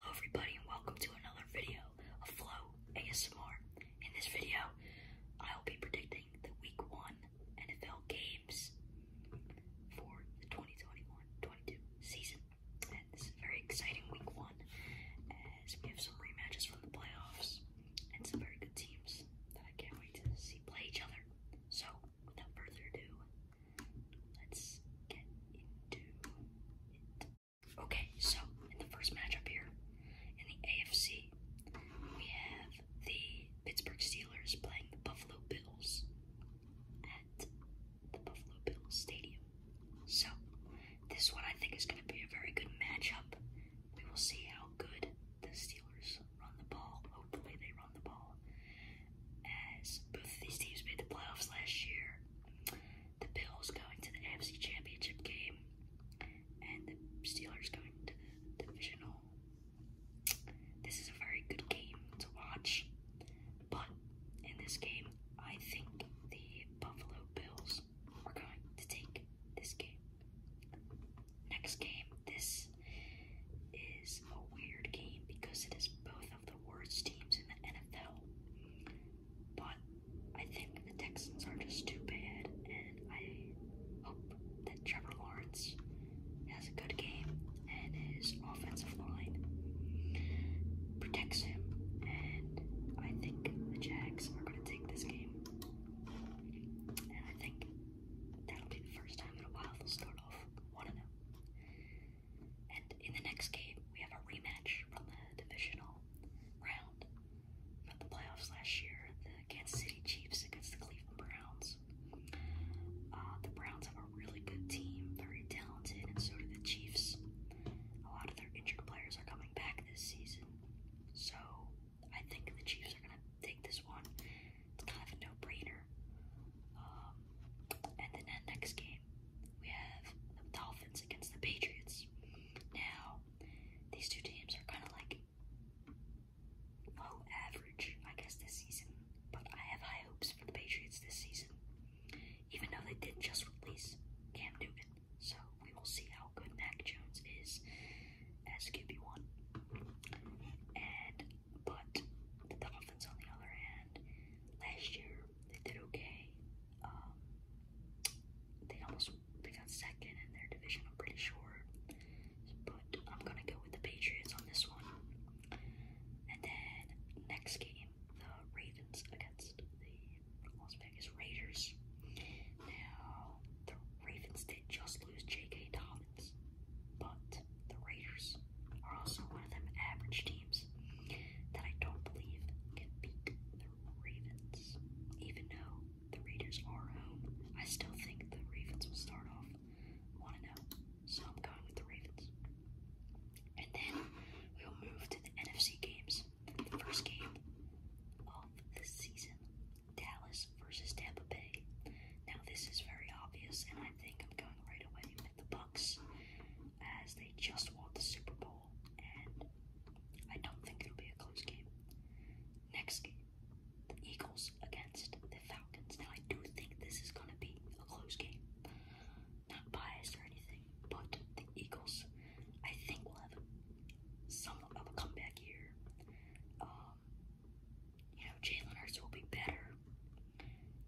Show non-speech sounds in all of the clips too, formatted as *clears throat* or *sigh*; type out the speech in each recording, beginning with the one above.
Hello everybody and welcome to another video of Flow ASMR. In this video, I'll be predicting the week one NFL games for the 2021-22 season. And this is a very exciting week one as we have some rematches from the playoffs and some very good teams that I can't wait to see play each other. So without further ado, let's get into it. Okay, so in the first matchup here, in the AFC, we have the Pittsburgh Steelers playing the Buffalo Bills at the Buffalo Bills Stadium. So, this one I think is going to be a very good matchup. We will see how good the Steelers run the ball. Hopefully, they run the ball. As both of these teams made the playoffs last year, the Bills going to the AFC Championship game, and the Steelers going to the divisional. This is a very good game to watch, but in this game, I think the Buffalo Bills are going to take this game. Next game, this is a weird game because it is both of the worst teams in the NFL. But I think the Texans are just too bad, and I hope that Trevor Lawrence has a good game and his offensive line protects him. And I think the Jags are going to take this game. And I think that'll be the first time in a while they'll start off 1 0. And in the next game, we have a rematch from the divisional round from the playoffs last year the Kansas City Chiefs against the Cleveland Browns. Uh, the Browns have a really good team, very talented, and so do the Chiefs. A lot of their injured players are coming back this season. So I think the Chiefs are going to take this one. It's kind of a no brainer. Um, and then the next game, we have the Dolphins against the Patriots. Now, these two teams are kind of like low average, I guess, this season. But I have high hopes for the Patriots this season, even though they did just release Cam Newton. So we will see how good Mac Jones is as QB1. And but the Dolphins, on the other hand, last year they did okay. Um, they almost they got second in their division, I'm pretty sure. But I'm gonna go with the Patriots on this one. And then next game, the Ravens against the Las Vegas Raiders. Now the Ravens did just lose J.K. Dobbins, but the Raiders are also one of them average teams that I don't believe can beat the Ravens. Even though the Raiders are home, I still think the Ravens will start off 1 0. So I'm going with the Ravens. And then we'll move to the NFC games. The first game of the season Dallas versus Tampa Bay. Now, this is very obvious, and I think I'm going right away the Bucks as they just won the Super Bowl, and I don't think it'll be a close game. Next game, the Eagles against the Falcons. Now I do think this is gonna be a close game. Not biased or anything, but the Eagles I think will have some of a comeback here. Um, you know, Jalen Hurts will be better.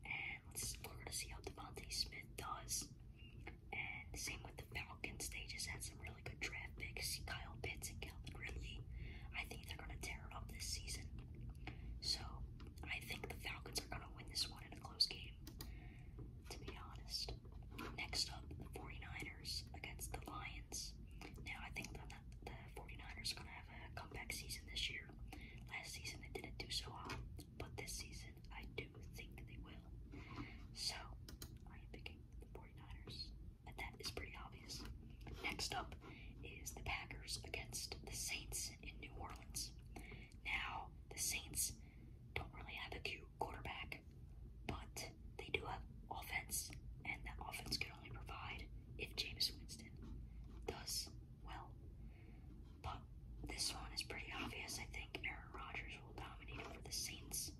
And let's, we're see how Devontae Smith does. And same with the Falcons. They just had some really good draft picks. Kyle Pitts and Calvin Ridley. I think they're going to tear it up this season. So I think the Falcons are going to win this one in a close game, to be honest. Next up, the 49ers against the Lions. Now, I think the, the 49ers are going to have a comeback season this year. Last season, they didn't do so hot but this season I do think they will. So I am picking the 49ers, and that is pretty obvious. Next up is the Packers against the Saints in New Orleans. Now, the Saints don't really have a cute quarterback, but they do have offense, and that offense can only provide if James Winston does well. But this one is pretty obvious. I think Aaron Rodgers will dominate it for the Saints.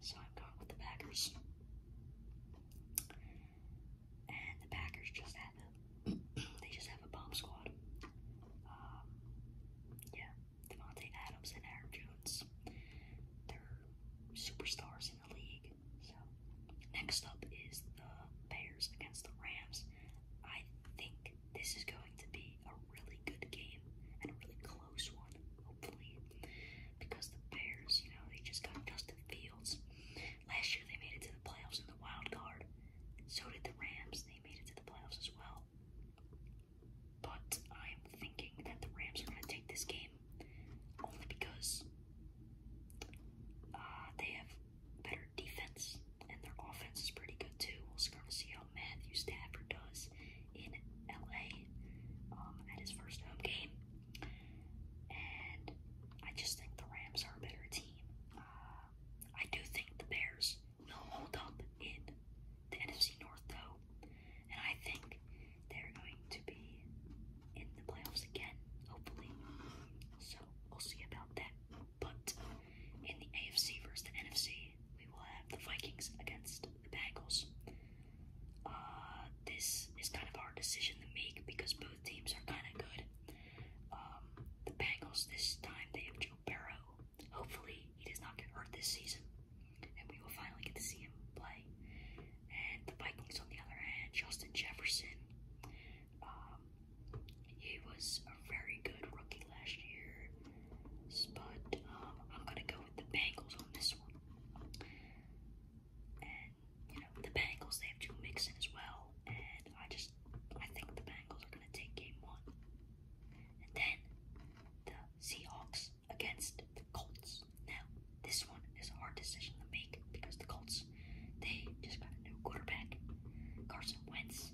So I'm going with the Packers. And the Packers just have *clears throat* they just have a bomb squad. Um, yeah, Devontae Adams and Aaron Jones. They're superstars in the league. So next up is the Bears against the Rams. I think this is going to be a really good game and a really close one, hopefully. Because the Bears, you know, they just got Justin Fields. Last year they made it to the playoffs in the wild card. So did the Rams. They made it to the playoffs as well. But I'm thinking that the Rams are going to take this game only because uh, they have better their defense, and their offense is pretty good too. We'll sort of see how Matthew Stafford does in LA um, at his first home game. And I just think the Rams are a better team. Uh, I do think the Bears will hold up in the NFC North, though, and I think they're going to be in the playoffs again, hopefully. So we'll see about that. But in the AFC versus the NFC, we will have the Vikings against the Bengals. Uh, this is kind of a hard decision to make because both teams are kind of good. Um, the Bengals this time they have Joe Burrow. Hopefully, he does not get hurt this season, and we will finally get to see him play. And the Vikings, on the other hand, Justin Jefferson. Um, he was a very good rookie last year, but um, I'm gonna go with the Bengals on this one. And you know the Bengals, they have Joe Mixon as well, and I just I think the Bengals are gonna take game one. And then the Seahawks against the Colts. Now this one is a hard decision to make because the Colts, they just got a new quarterback, Carson Wentz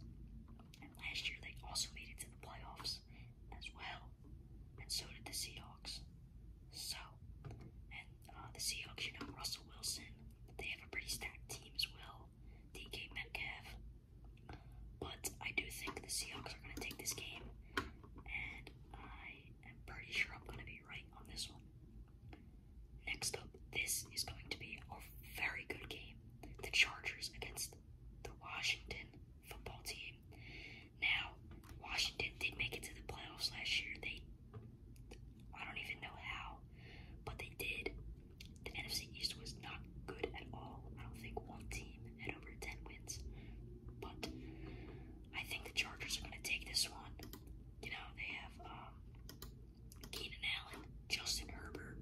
last year, they also made it to the playoffs as well. And so did the Seahawks. So, and uh, the Seahawks, you know, Russell Wilson, they have a pretty stacked team as well. DK Metcalf. But I do think the Seahawks are going to take this game. And I am pretty sure I'm going to be right on this one. Next up, this is going to be a very good game the Chargers against the Washington football team. Now, Washington did make it to the playoffs last year. They, I don't even know how, but they did. The NFC East was not good at all. I don't think one team had over 10 wins, but I think the Chargers are going to take this one. You know, they have um, Keenan Allen, Justin Herbert,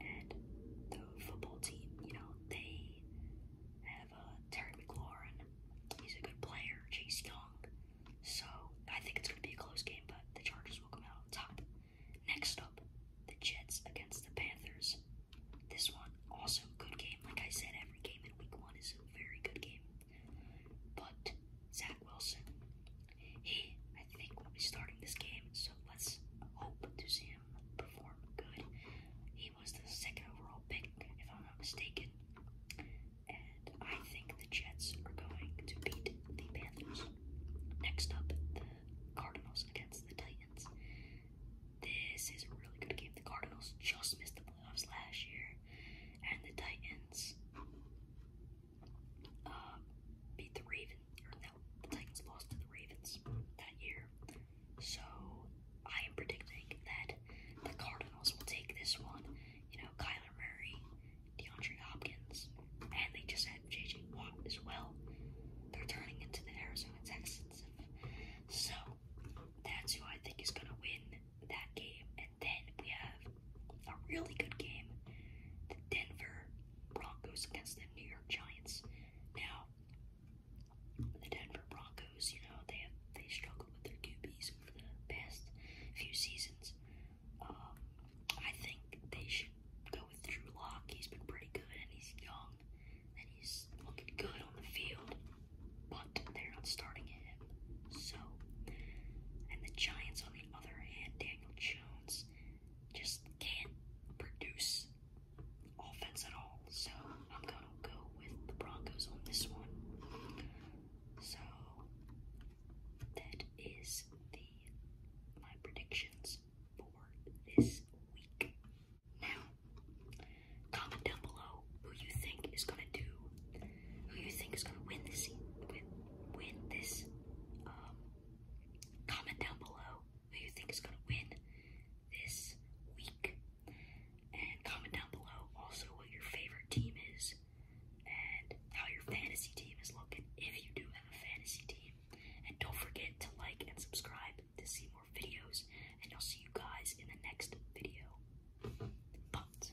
and the football team. You know, they have uh, Terry McLaurin. He's a good player. Chase Young. So I think it's going to be a close game, but the Chargers will come out on top. Next up, the Jets against the Panthers. This one also good game. Like I said, every game in Week One is a very good game. But Zach Wilson he, I think, will be starting this game, so let's hope to see him perform good. He was the second overall pick, if I'm not mistaken. And I think the Jets are going to beat the Panthers. Next up, the Cardinals against the Titans. This is a really good game. The Cardinals just missed the playoffs last year, and the Titans uh, beat the Ravens the Titans lost to the Ravens that year. So I am predicting that the Cardinals will take this one. You know, Kyler Murray, DeAndre Hopkins, and they just had JJ Watt as well. They're turning into the Arizona Texans. So that's who I think is gonna win that game. And then we have a really good game. The Denver Broncos against the New York Giants. Now, the Denver Broncos, you know, they have they struggled with their QBs over the past few seasons. Um, I think they should go with Drew Lock. He's been pretty good, and he's young, and he's looking good on the field. But they're not starting him, so. And the Giants, on the other hand, Daniel Jones just can't produce offense at all. So I'm gonna go with the Broncos on this one. So that is the my predictions for this week. Now, comment down below who you think is gonna do, who you think is gonna win this um, Comment down below who you think is going to win this week. And comment down below also what your favorite team is and how your fantasy team is looking if you do have a fantasy team. And don't forget to like and subscribe to see more videos. And I'll see you guys in the next video. But.